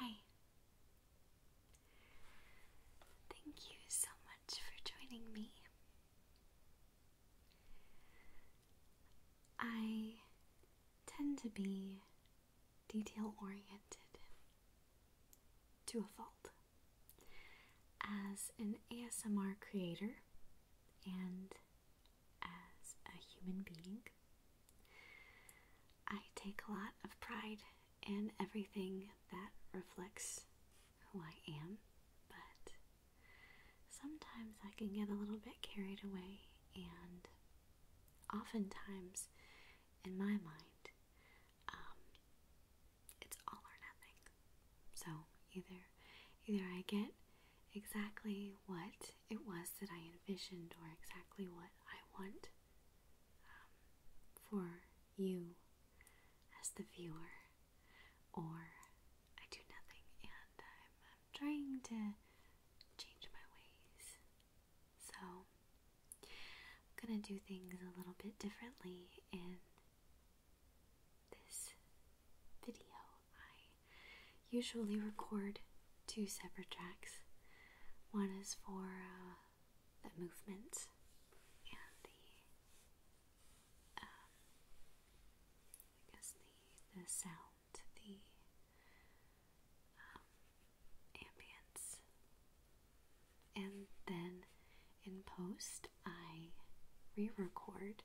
Hi. Thank you so much for joining me. I tend to be detail oriented to a fault. As an ASMR creator and as a human being, I take a lot of pride in everything that reflects who I am, but Sometimes I can get a little bit carried away, and oftentimes, in my mind, um, it's all or nothing. So either, either I get exactly what it was that I envisioned, or exactly what I want um, for you as the viewer, or I do nothing and I'm, uh, trying to change my ways. So I'm gonna do things a little bit differently in this video. I usually record two separate tracks. One is for uh, the movement and the um, I guess the the sound, the um, and then in post I re-record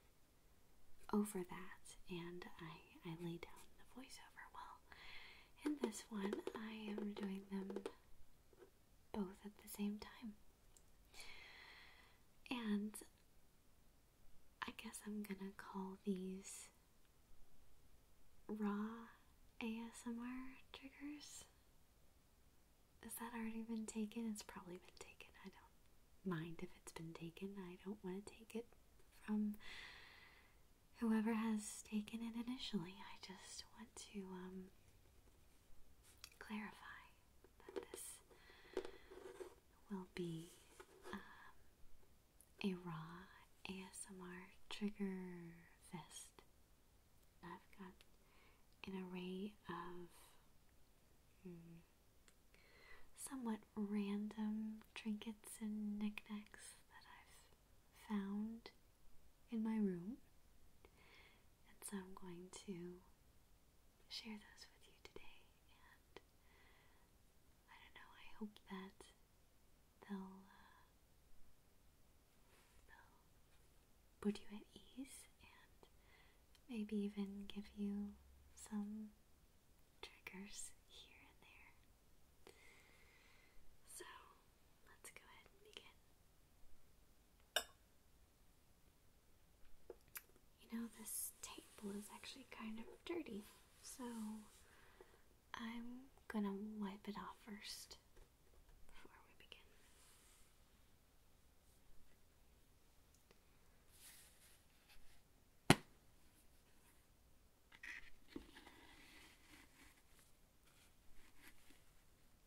over that, and I I lay down the voiceover. Well, in this one I am doing them both at the same time. And I guess I'm gonna call these raw ASMR triggers. Has that already been taken? It's probably been taken. I don't mind if it's been taken. I don't want to take it from whoever has taken it initially. I just want to um, clarify this will be uh, a raw ASMR trigger fest. I've got an array of hmm, somewhat random trinkets and knickknacks that I've found in my room. And so I'm going to share those with you today. And I don't know, I hope that uh, they'll, put you at ease and maybe even give you some triggers here and there. So let's go ahead and begin. You know, this table is actually kind of dirty, so I'm gonna wipe it off first before we begin.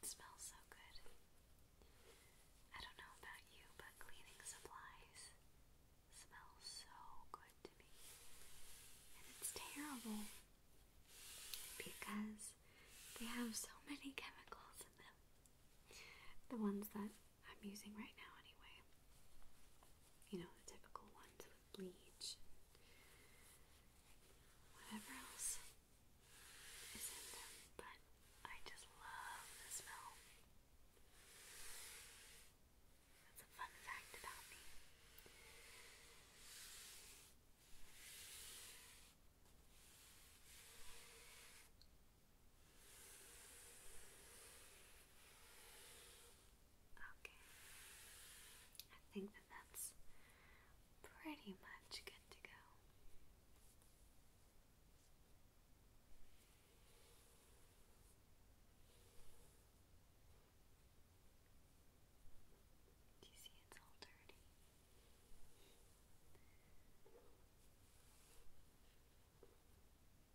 It smells so good. I don't know about you, but cleaning supplies smell so good to me. And it's terrible because they have so many chemicals in them. The ones that I'm using right now, anyway. You know, the typical ones bleach, whatever else is in them, but I just love the smell. That's a fun fact about me. Okay. I think that that's pretty much good to go. Do you see it's all dirty? Up.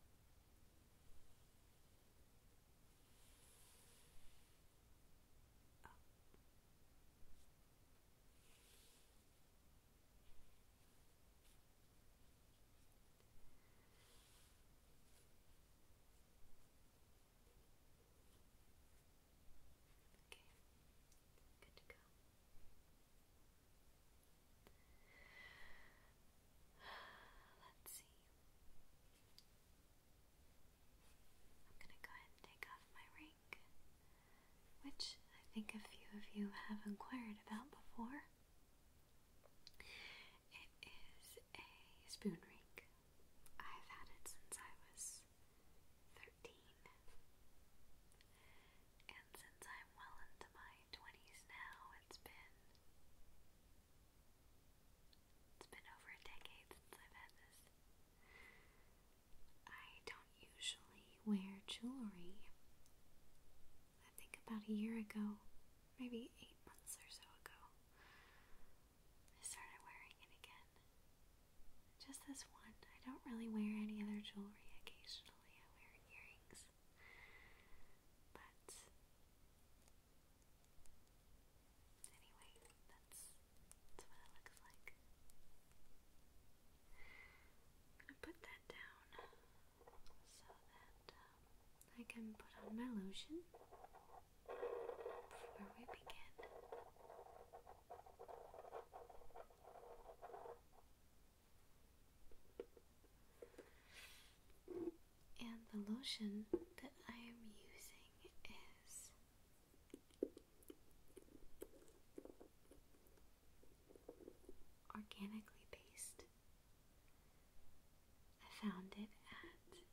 Okay, good to go. Let's see. I'm going to go ahead and take off my ring, which I think a few of you have inquired about before. It is a spoon ring. I've had it since I was 13. And since I'm well into my 20s now, it's been it's been over a decade since I've had this. I don't usually wear jewelry. I think about a year ago, maybe eight months or so ago, I started wearing it again. Just this one. I don't really wear any other jewelry occasionally. I wear earrings. But Anyway, that's, that's what it looks like. I'm gonna put that down so that um, I can put on my lotion before we begin. And the lotion that I am using is organically based. I found it at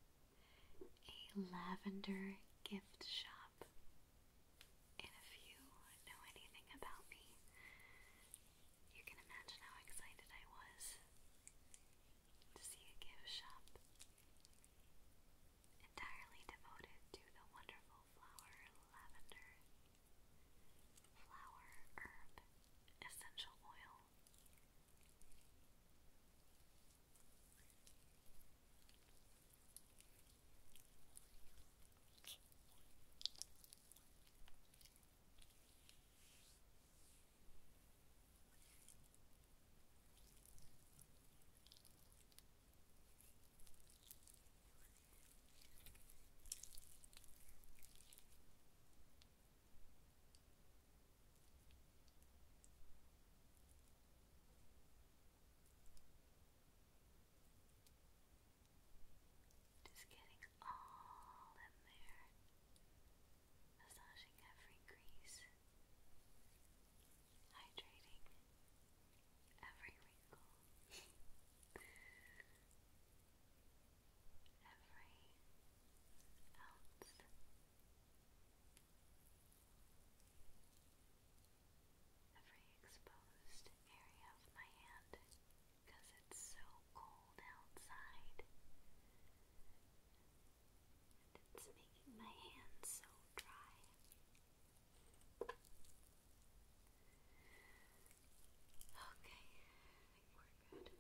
a lavender gift shop. And if you know anything about me, you can imagine how excited I was to see a gift shop entirely devoted to the wonderful flower lavender, flower herb, essential oil. Just getting all in there massaging every crease, hydrating every wrinkle, every ounce. Every exposed area of my hand because it's so cold outside it's making my hands so dry. Okay, I think we're good.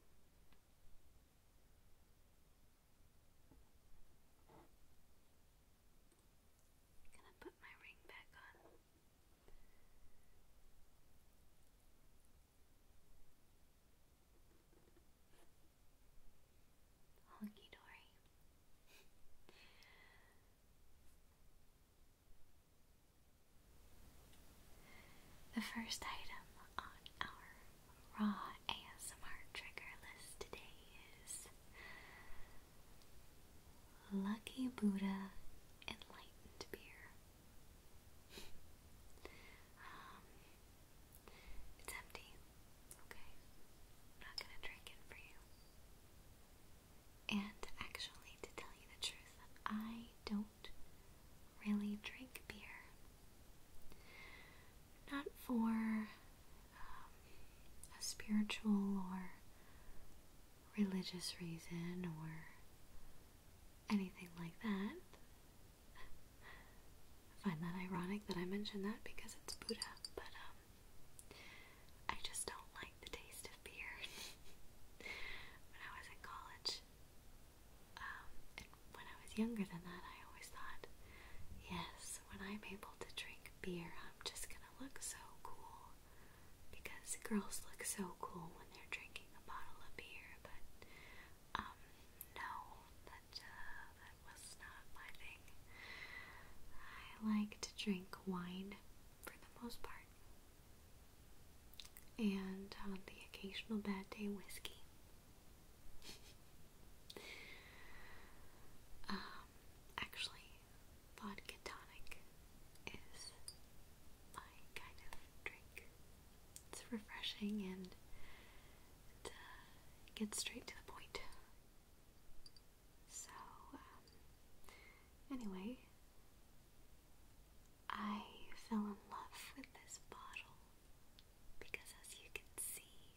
gonna put my ring back on. Honky Dory. the first item on our raw ASMR trigger list today is Lucky Buddha Enlightened Beer. Um, it's empty. Okay, I'm not gonna drink it for you. And actually, to tell you the truth, I don't really drink beer. Not for um, a spiritual or religious reason or anything like that. I find that ironic that I mention that because it's Buddha, but um, I just don't like the taste of beer. when I was in college, um, and when I was younger than that, I always thought, yes, when I'm able to drink beer, I'm just gonna look so cool. Because girls look so cool when they're drinking a bottle of beer, but um, no, that uh, that was not my thing. I like to drink wine for the most part, and the occasional bad day, whiskey. um, actually, vodka tonic is my kind of drink. It's refreshing and it uh, straight to the point. So, um, anyway, I fell in love with this bottle because, as you can see,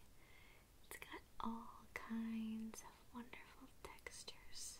it's got all kinds of wonderful textures.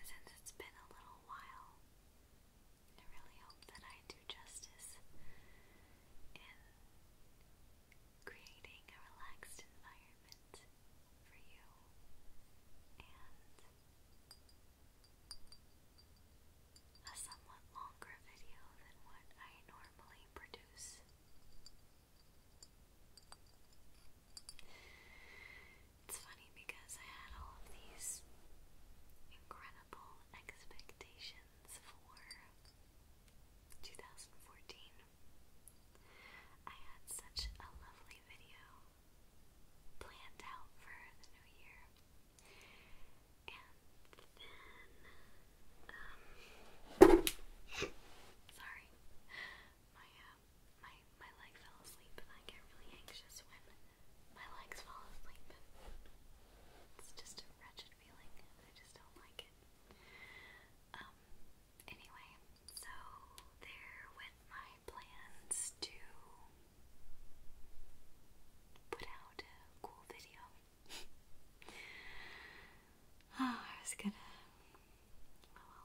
Since it's been a little while, I really hope that I do justice in creating a relaxed environment for you and a somewhat longer video than what I normally produce. It's funny because I had all of these incredible expectations for 2014. I had such a lovely video planned out for the new year. And then, um, sorry, my uh, my my leg fell asleep, and I get really anxious when my legs fall asleep. It's just a wretched feeling, I just don't like it. Um. Anyway, so there went my plans to put out a cool video. Ah, I was gonna Oh,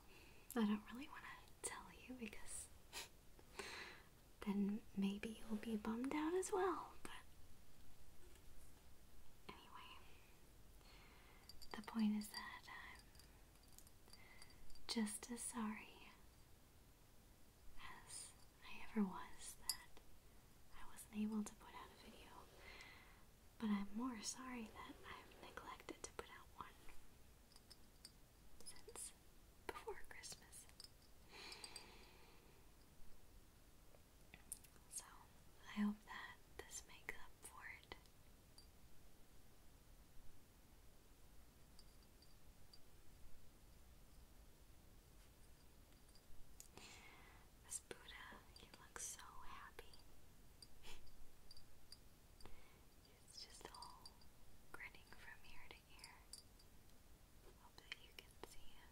well, I don't really want to tell you because then maybe you'll be bummed out as well, but anyway, the point is that I'm just as sorry as I ever was that I wasn't able to put out a video but I'm more sorry that I've neglected to put out one since before Christmas. So I hope that this makes up for it. This Buddha, he looks so happy. It's just all grinning from ear to ear. Hope that you can see him.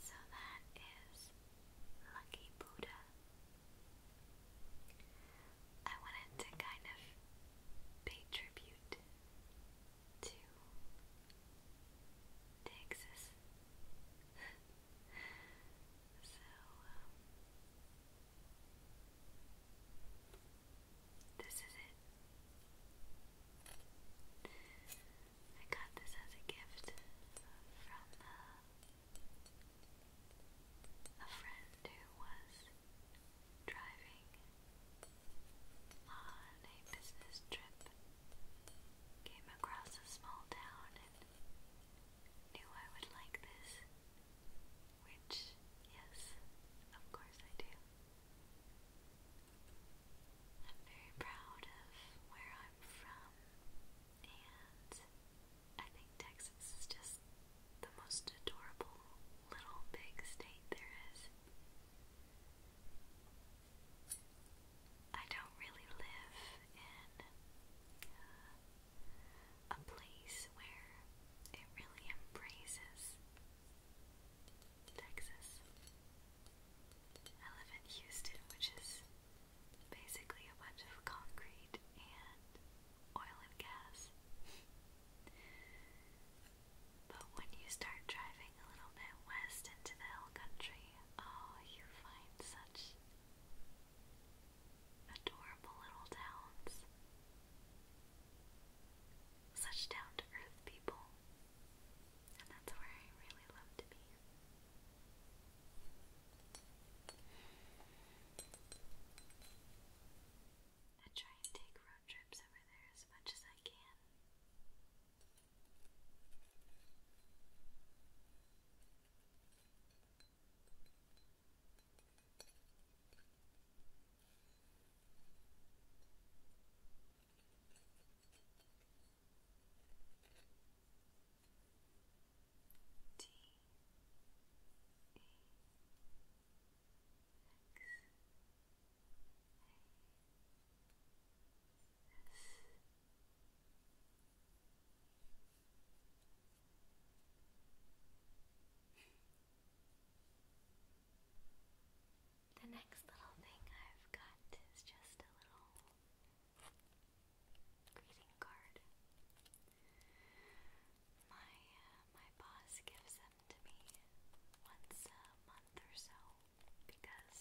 So that is Lucky Buddha. I wanted to kind of pay tribute to Texas. so, um, this is it. I got this as a gift from uh, a friend who was driving on a business trip, came across a small town and knew I would like this, which, yes, of course I do. I'm very proud of where I'm from, and I think Texas is just the most adorable little big state there is. I don't really live in uh, a place where it really embraces Texas. I live in Houston, which is basically a bunch of concrete and oil and gas. But when you start driving a little bit west into the hill country, oh, you find such adorable little towns. Such down to earth people. And that's where I really love to be. I try and take road trips over there as much as I can. T E X the next little thing I've got is just a little greeting card. My uh, my boss gives them to me once a month or so because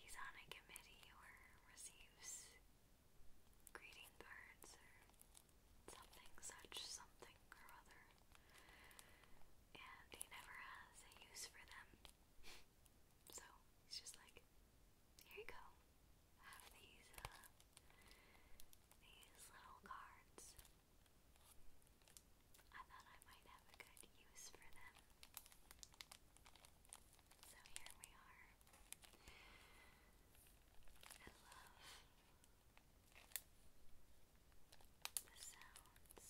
he's on a committee or receives greeting cards or something such something or other and he never has a use for them so he's just like here you go have these uh, these little cards I thought I might have a good use for them. So here we are. I love the sounds of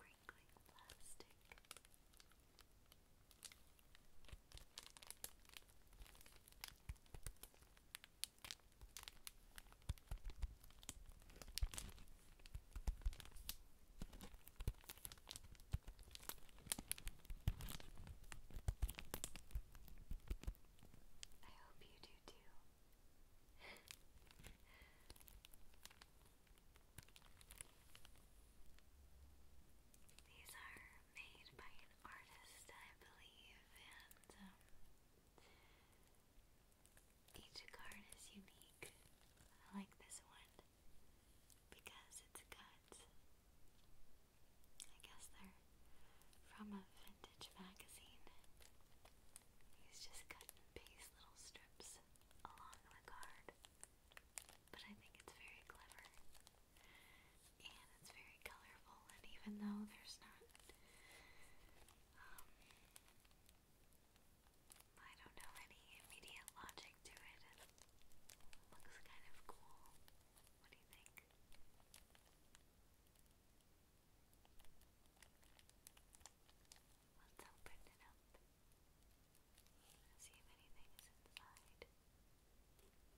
crinkling plastic. I hope you do too. These are made by an artist, I believe, each card is unique. I like this one because it's I guess they're from a vintage magazine. He's just cut and paste little strips along the card. But I think it's very clever and it's very colorful. And even though there's not, um, I don't know any immediate logic to it, looks kind of cool. What do you think? Let's open it up. See if anything inside.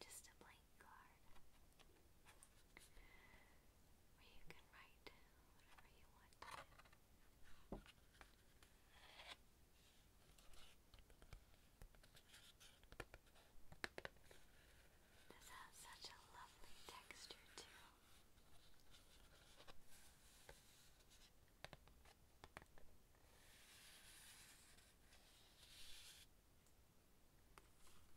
just a blank card where you can write whatever you want to. This has such a lovely texture too.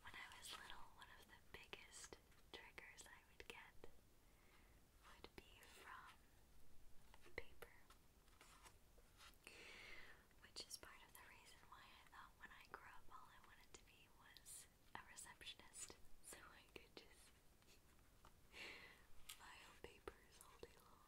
When I was little, one of the biggest triggers I would get would be from paper, which is part of the reason why I thought when I grew up all I wanted to be was a receptionist, so I could just file papers all day long.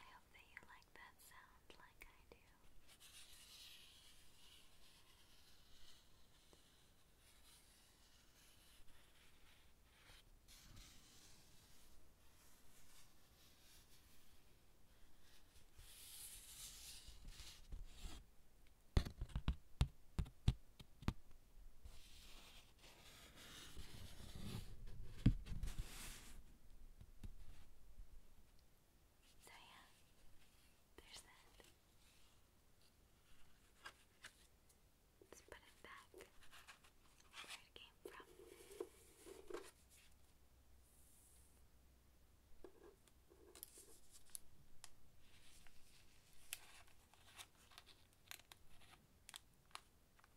I hope that you like that sound like I do. So yeah, there's that. Let's put it back where it came from. Okay.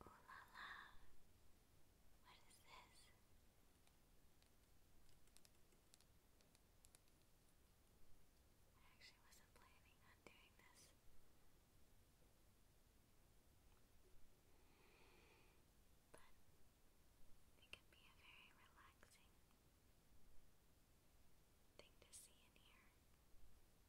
Ooh la la. What is this? I actually wasn't planning on doing this. But it can be a very relaxing thing to see in here.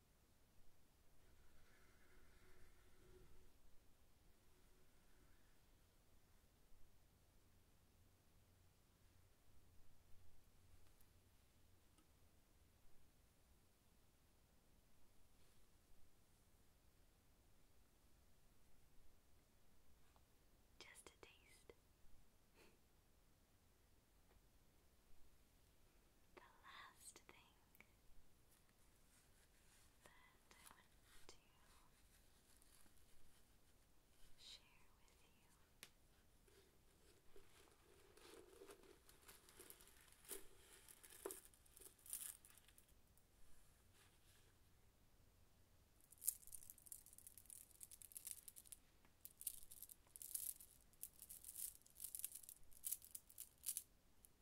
Just a taste. the last thing that I want to share with you.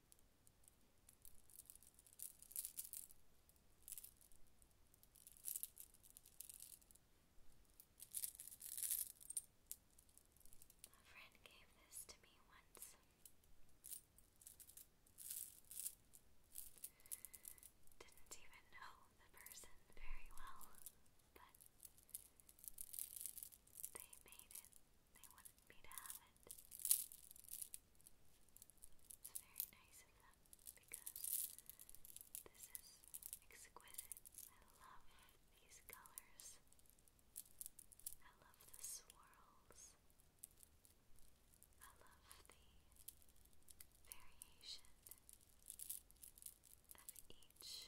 A friend gave this to me once. Didn't even know the person very well, but they made it. They wanted asked me to have it. It's very nice of them because this is exquisite. I love these colors. I love the swirls. I love the variation of each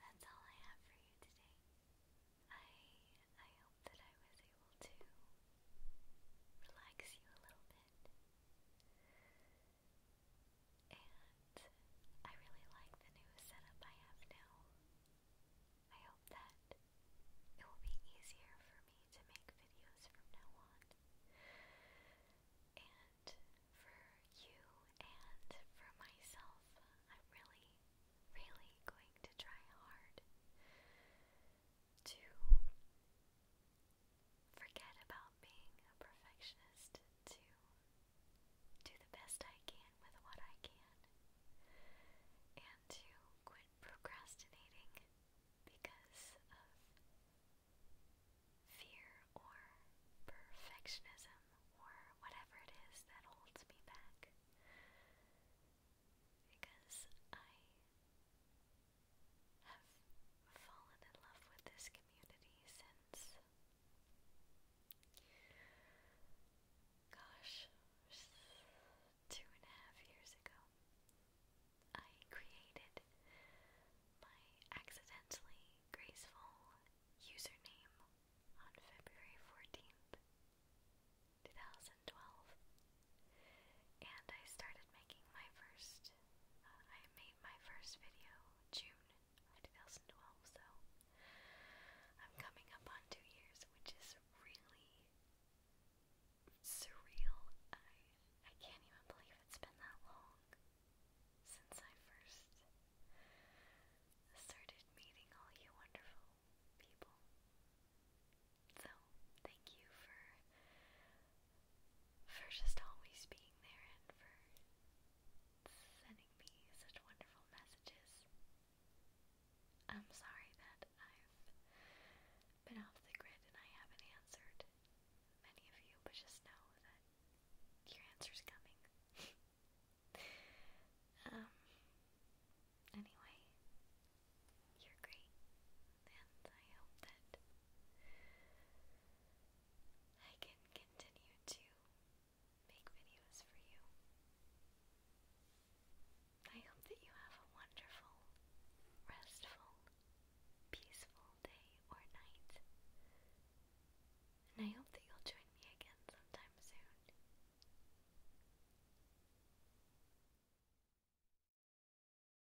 That's all I have for you today. I I hope that I was able to relax you a little bit. And I really like the new setup I have now. I hope that it will be easier for me to make videos from now on. And for you and for myself, I'm really, really going to try hard to forget about being a perfectionist, to do the best I can with what I can, and to quit procrastinating because of fear or perfectionism or whatever it is that holds me back. Because I have fallen in love with this community since. Gosh, two and a half years ago, I created my accidentally graceful username on February 14th, 2012. And I started making my first, uh, I made my first video June 2012, so I'm coming up on two years, which is really surreal. I, I can't even believe it's been that long since I first started meeting all you wonderful people. So, thank you for for just always being there and for sending me such wonderful messages. I'm sorry that I've been off the grid and I haven't answered many of you, but just know that your answer's coming. um, anyway, you're great, and I hope that I can continue to make videos for you. I hope that you have a wonderful, restful, peaceful day or night. And I hope that you'll join me again sometime soon.